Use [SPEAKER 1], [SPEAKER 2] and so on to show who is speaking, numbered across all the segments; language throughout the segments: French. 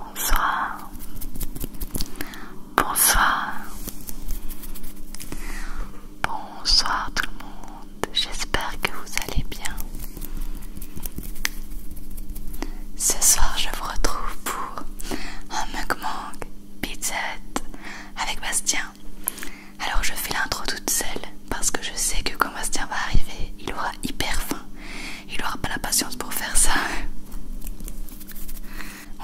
[SPEAKER 1] Bonsoir. Bonsoir. Bonsoir tout le monde. J'espère que vous allez bien. Ce soir, je vous retrouve pour un manque pizza avec Bastien. Alors je fais l'intro toute seule parce que je sais que quand Bastien va arriver, il aura hyper faim. Il aura pas la patience pour faire ça.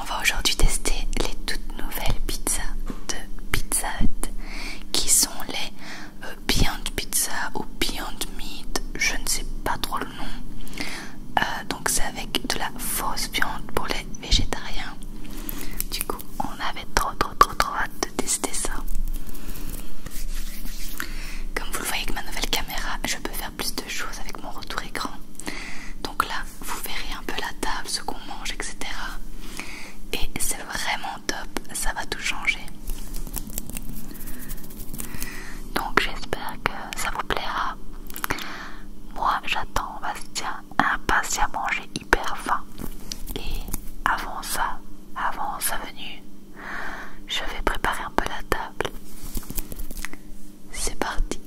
[SPEAKER 1] On va aujourd'hui tester les toutes nouvelles pizzas de Pizza qui sont les euh, Beyond Pizza ou Beyond Meat, je ne sais pas trop le nom. Euh, donc c'est avec de la fausse viande pour les végétariens. Du coup, on on avait trop trop trop hâte de tester ça. Comme vous le voyez avec ma nouvelle caméra, je peux faire plus de choses avec mon retour écran. Donc là, vous verrez un peu la table, ce qu'on mange, etc. Et c'est vraiment top, ça va tout changer. Donc j'espère que ça vous plaira. Moi j'attends à manger hyper fin Et avant ça, avant sa venue, je vais préparer un peu la table. C'est parti.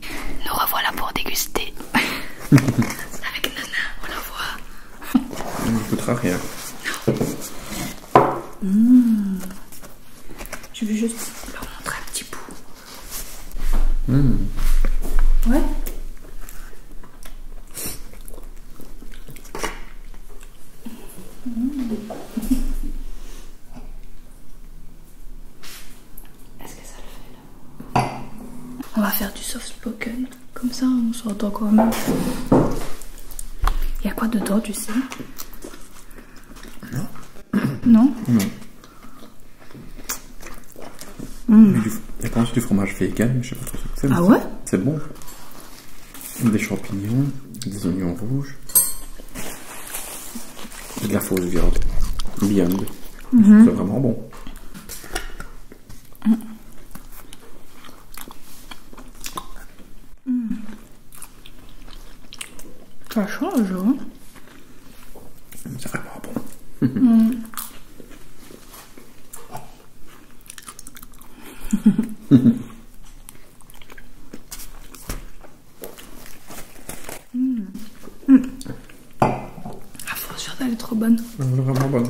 [SPEAKER 1] Nous revoilà pour déguster. Avec Nana, on la voit. on ne coûtera rien. Hmm. Je vais juste leur montrer un petit bout. Hmm. Ouais.
[SPEAKER 2] Est-ce que ça le fait là On va faire du soft spoken, comme ça on s'entend quand même. Il y a quoi dedans, tu sais Non. Non Non. Mm. Il y du, et quand du fromage vegan, je sais pas trop ce que c'est. Ah ouais C'est bon. Des champignons, des oignons rouges, et de la fausse viande. Viande.
[SPEAKER 1] Mm-hmm. C'est vraiment
[SPEAKER 2] bon. Mm. Ça change, hein
[SPEAKER 1] C'est vraiment bon. Mm. mmh.
[SPEAKER 2] Mmh. Ah, franchement, elle est trop bonne. Mmh, vraiment bonne.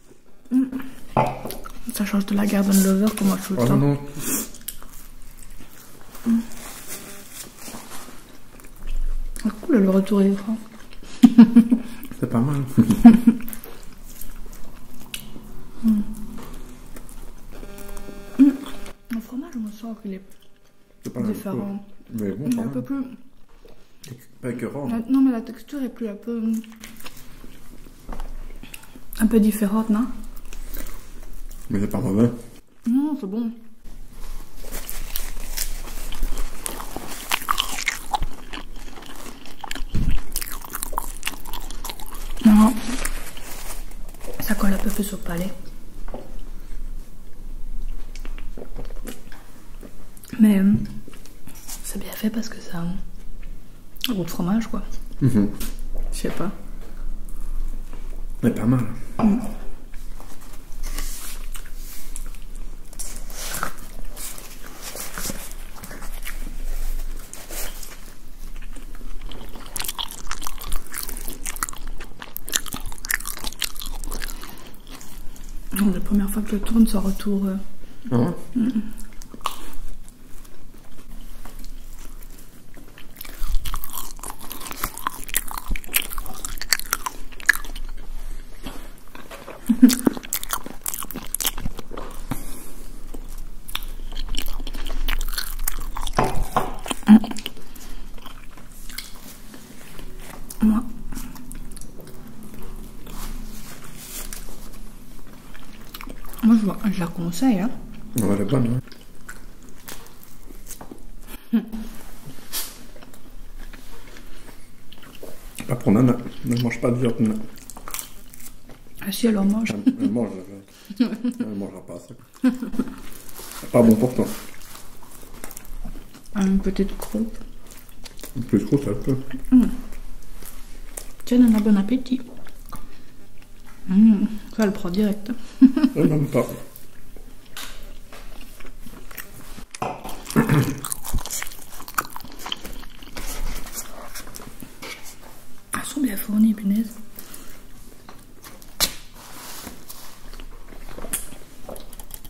[SPEAKER 2] Ça change de la Garden Lover que moi je le oh ah, cool le retour des francs.
[SPEAKER 1] C'est pas mal. Mon
[SPEAKER 2] Le fromage, on me sens qu'il est, différent. Mais bon, il est un peu plus pas écœurant. Hein. non, mais la texture est plus un peu. un peu différente, non
[SPEAKER 1] Mais c'est pas mauvais.
[SPEAKER 2] Non, c'est bon. Non. Ça colle un peu plus au palais. Mais euh, c'est bien fait parce que ça un gros fromage, quoi.
[SPEAKER 1] Mhm. Je sais pas. Mais pas mal. Mm
[SPEAKER 2] la première fois que je tourne, son retour. Euh, ah mm. Moi, moi, je, la conseille. Hein. elle est bonne. Hein. Hmm. Pas pour Nana. Ne mange pas de viande, Ah si, elle en mange. Elle, mange la viande. elle mangera pas ça. C'est pas bon pour toi. Une petite croupe. Plus kusetta. Mm. Tiens, un bon appétit. Mmh, ça le prend direct. Ah,
[SPEAKER 1] ah, elle même pas.
[SPEAKER 2] Elles sont bien fournies, punaise.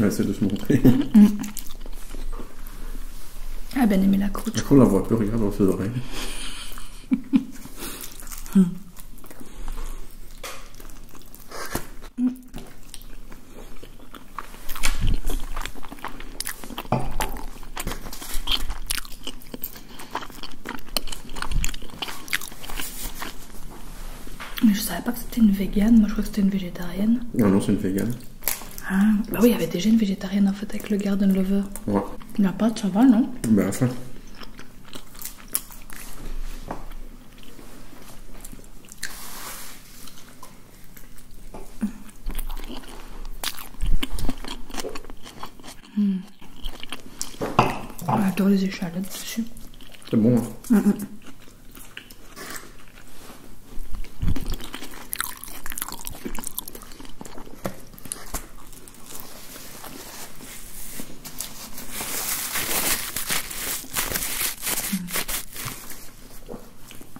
[SPEAKER 2] va essaie de se montrer. Ah, ben aimé la croûte. Quand ne la voit peu, regarde dans ses oreilles. Mais je savais pas que c'était une végane, moi je crois que c'était une végétarienne. Non, ah non, c'est une végane. Ah, bah oui, il y avait déjà une végétarienne en fait avec le Garden Lover. Ouais. La pâte, ça va, non Bah, J'adore les échalotes C'est bon. Hein. Mm, mm.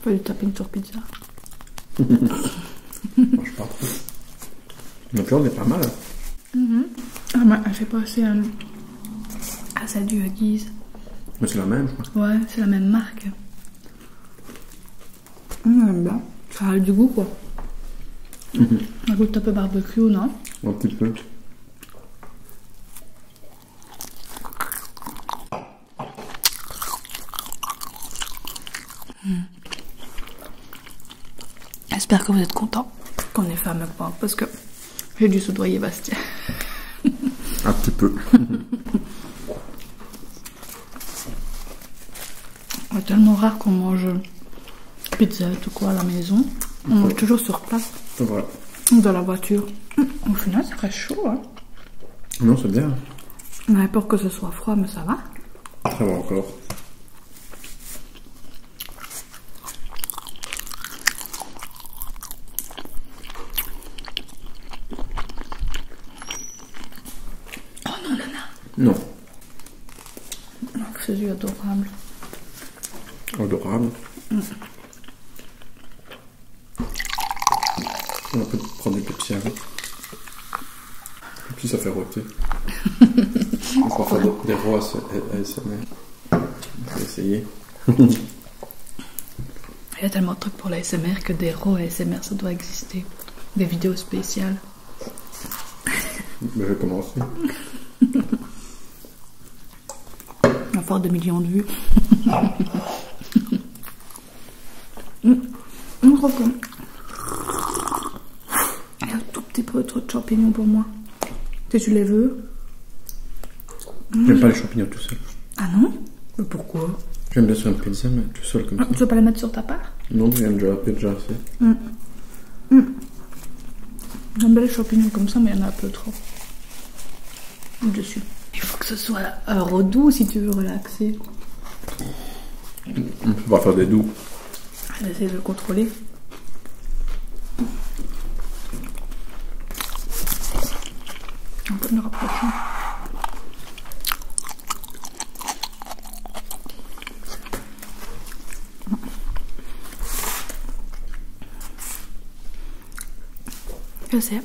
[SPEAKER 2] Pas du tapping sur pizza. Je pas trop. Donc là, on est pas mal. Hein. Mm-hmm. Ah, bah elle fait passer à, à sa guise c'est la même, je crois. Ouais, c'est la même marque. J'aime mmh, bien. Ça a du goût, quoi. Un goût goûte un peu barbecue, non Un petit peu. Mmh. J'espère que vous êtes contents qu'on ait fait un parce que j'ai dû soudoyer Bastien. Un petit peu. C'est ah, tellement rare qu'on mange pizza ou quoi à la maison. On mange toujours sur place. Voilà. Dans la voiture. Au final, c'est très chaud. Hein. Non, c'est bien. N'importe que ce soit froid, mais ça va. Ça va encore. Oh non, Nana Non. Donc, c'est adorable. Adorable. Mmh. On peut prendre des petits avec. Et puis ça fait rôter. On va faire des rois ASMR. On va essayer. Il y a tellement de trucs pour SMR que des RAW SMR ça doit exister. Des vidéos spéciales. Ben, je vais commencer. On va millions de vues. On crois Il y a un tout petit peu trop de champignons pour moi. tu les veux, J'aime pas les champignons tout seul. Ah non Mais pourquoi J'aime bien sur un pizza, mais tout seul comme ah, ça. Tu veux pas la mettre sur ta part Non, j'aime déjà, déjà assez. Mm. Mm. J'aime bien les champignons comme ça, mais il y en a un peu trop. Dessus. Il faut que ce soit heureux redoux si tu veux relaxer. On peut pas faire des doux. essayer de le contrôler. On peut le rapprocher. Je sais,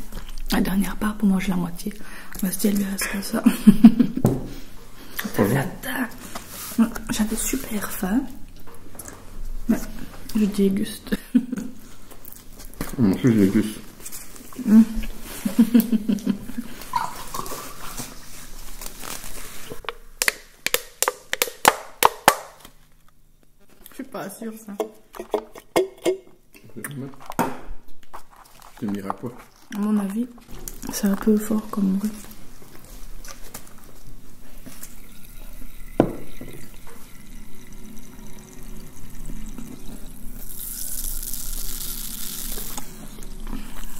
[SPEAKER 2] la dernière part pour manger la moitié. Parce qu'elle lui reste comme ça. J'avais super faim. Ouais, je déguste. En plus, j'ai Je suis pas sûre, ça. C'est mira quoi À mon avis, c'est un peu fort comme bruit.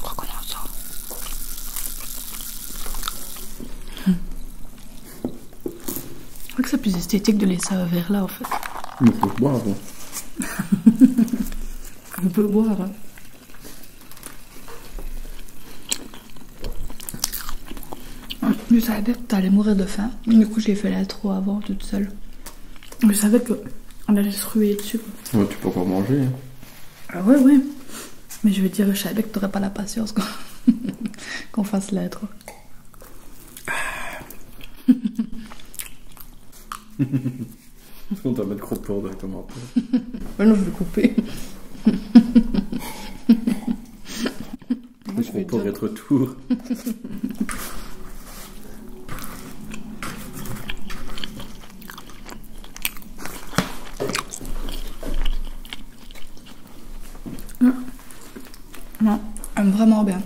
[SPEAKER 2] Recommençons. Hum. Je crois que c'est plus esthétique de laisser un verre là en fait. peut le boire On peut le boire. Hein. Je savais que t'allais mourir de faim. Du coup, j'ai fait la avant toute seule. Je savais que on allait se ruer dessus. Ouais, tu peux encore manger. Hein. Ah ouais, ouais. Mais je veux dire, je savais que t'aurais pas la patience qu'on fasse la Est-ce qu'on mis mettre crotte pour directement après On non, je vais couper. Moi, je vais pour être tour. Ah. Non, elle vraiment bien.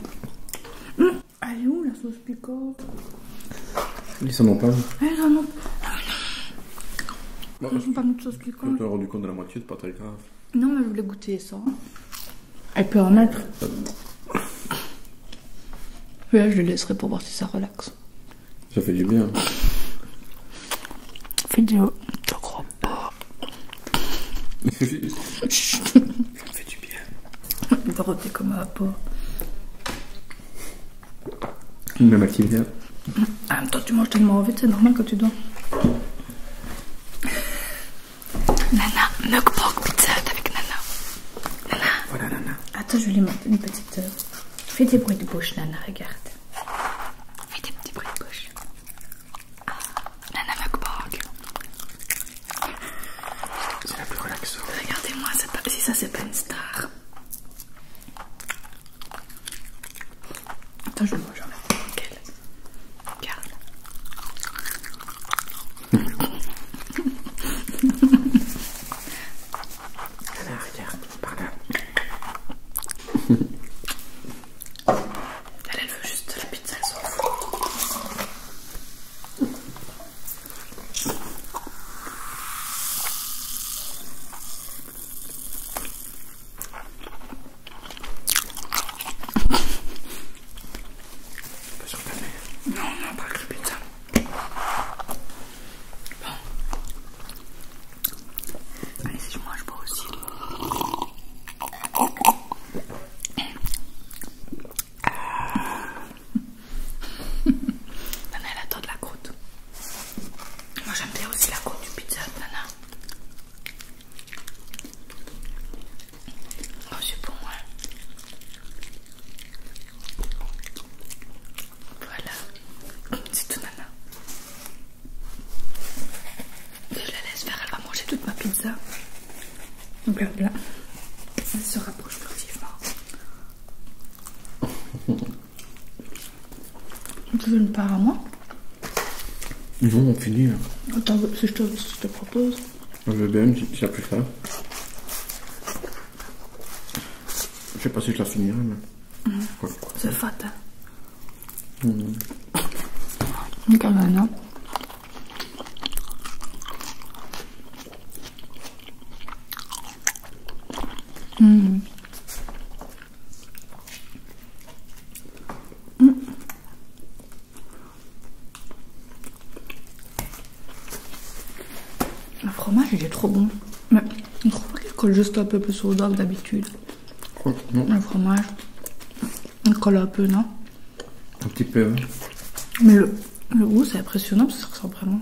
[SPEAKER 2] Hum, elle est où la sauce piquante Laisse-moi ont pas. Elle en vraiment pas. Ils n'ont pas de sauce piquante. Tu t'es rendu compte de la moitié, c'est pas très grave. Non, mais je voulais goûter ça. Elle peut en mettre. Là, je le laisserai pour voir si ça relaxe. Ça fait du bien. Fais fait du. Je crois pas. ça fait du bien. roter comme un pot. Même activité. En même temps, tu manges tellement vite, c'est normal que tu dois. Nana, Mug Pizza avec Nana. Nana. Voilà, Nana. Attends, je vais lui mettre une petite. Fais des bruits de bouche, Nana,
[SPEAKER 1] regarde. Fais des petits bruits de bouche. nana Mug C'est la plus relaxante. Regardez-moi,
[SPEAKER 2] si ça, c'est pas une star. Attends, je vais manger en même temps qu'elle Regarde. Alors, regarde, par là. Elle, elle veut juste de la pizza, elle s'en fout.
[SPEAKER 1] Pas sûr que mais... Non, non, pas que je pizza. Bon. Allez, si je je pas aussi. Donnez la taux de la croûte. Moi j'aime bien aussi la côte du pizza nana. Oh, c'est bon, moi.
[SPEAKER 2] Voilà, c'est tout nana. Je la laisse faire, elle va manger toute ma pizza. Blabla. Elle se rapproche furtivement. Tu veux une part à moi
[SPEAKER 1] Ils vont en finir.
[SPEAKER 2] Hein. Attends, si je te, propose. Je veux bien, s'il plus ça. Je sais pas si je la finirai, mais. C'est mhm.
[SPEAKER 1] C'est fatal. Mmh. Regarde maintenant.
[SPEAKER 2] Mm. Le fromage il est trop bon. Mais on trouve qu'il colle juste un peu plus au doigt d'habitude. le fromage. Il colle un peu, non Un petit peu, hein. Mais le, goût c'est impressionnant parce que ça ressemble vraiment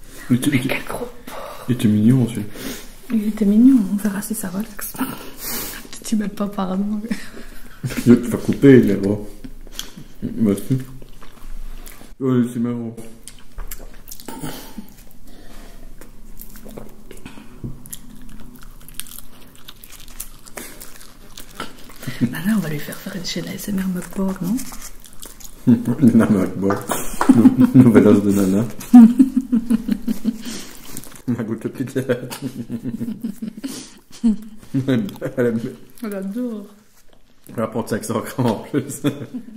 [SPEAKER 1] Mais quel gros
[SPEAKER 2] porc Il était mignon aussi. Il était mignon, on verra si ça relaxe. tu m'aimes pas, pardon. Je vais te faire couper, les est bon. Merci. Ouais, c'est marrant. Bah là on va lui faire faire une chaîne ASMR mukbang, non
[SPEAKER 1] Nana
[SPEAKER 2] Akbar. Nouvelle os de Nana. Ma goutte de pizza. Elle adore. Elle apporte 500 grammes en plus.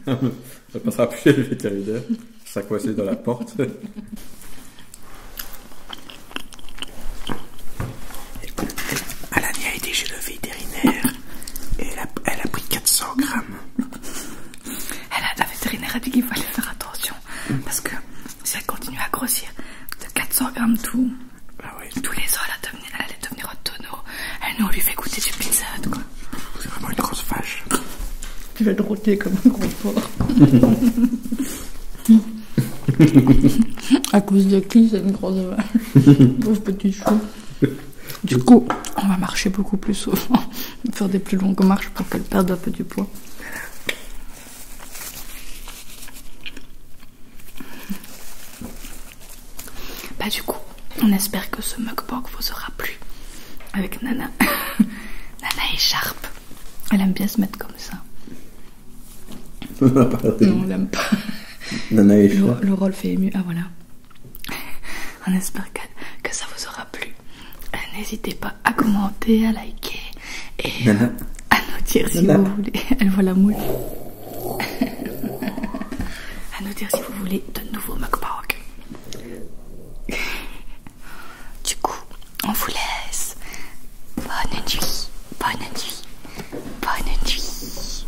[SPEAKER 2] Elle passera plus chez le vétérinaire. Ça coincé dans la porte.
[SPEAKER 1] Alania a été chez le vétérinaire et elle a, pris 400 grammes. Elle la vétérinaire a dit qu'il fallait faire attention parce que si elle continue à grossir
[SPEAKER 2] de 400 grammes tout,
[SPEAKER 1] ah tous les ans elle, allait devenir tonneau. Elle nous lui fait goûter du pizza quoi. C'est
[SPEAKER 2] vraiment une grosse vache. Tu vas drotter comme un gros porc. A cause de qui c'est une grosse vache Pauvre petit chou. Du coup, on va marcher beaucoup plus souvent, faire des plus longues marches pour qu'elle perde un peu du poids. Bah du coup, on espère que ce mukbang vous aura plu avec Nana. Nana est Elle aime bien se mettre comme ça. non, on l'aime pas. Nana Le, le rôle fait ému. Ah voilà. On espère que, ça vous aura plu. Euh, n'hésitez pas à commenter, à liker et à nous dire si vous voulez. Elle voit la à nous dire
[SPEAKER 1] si vous voulez de nouveaux mukbang. Du coup, on vous laisse. Bonne nuit, bonne nuit, bonne nuit.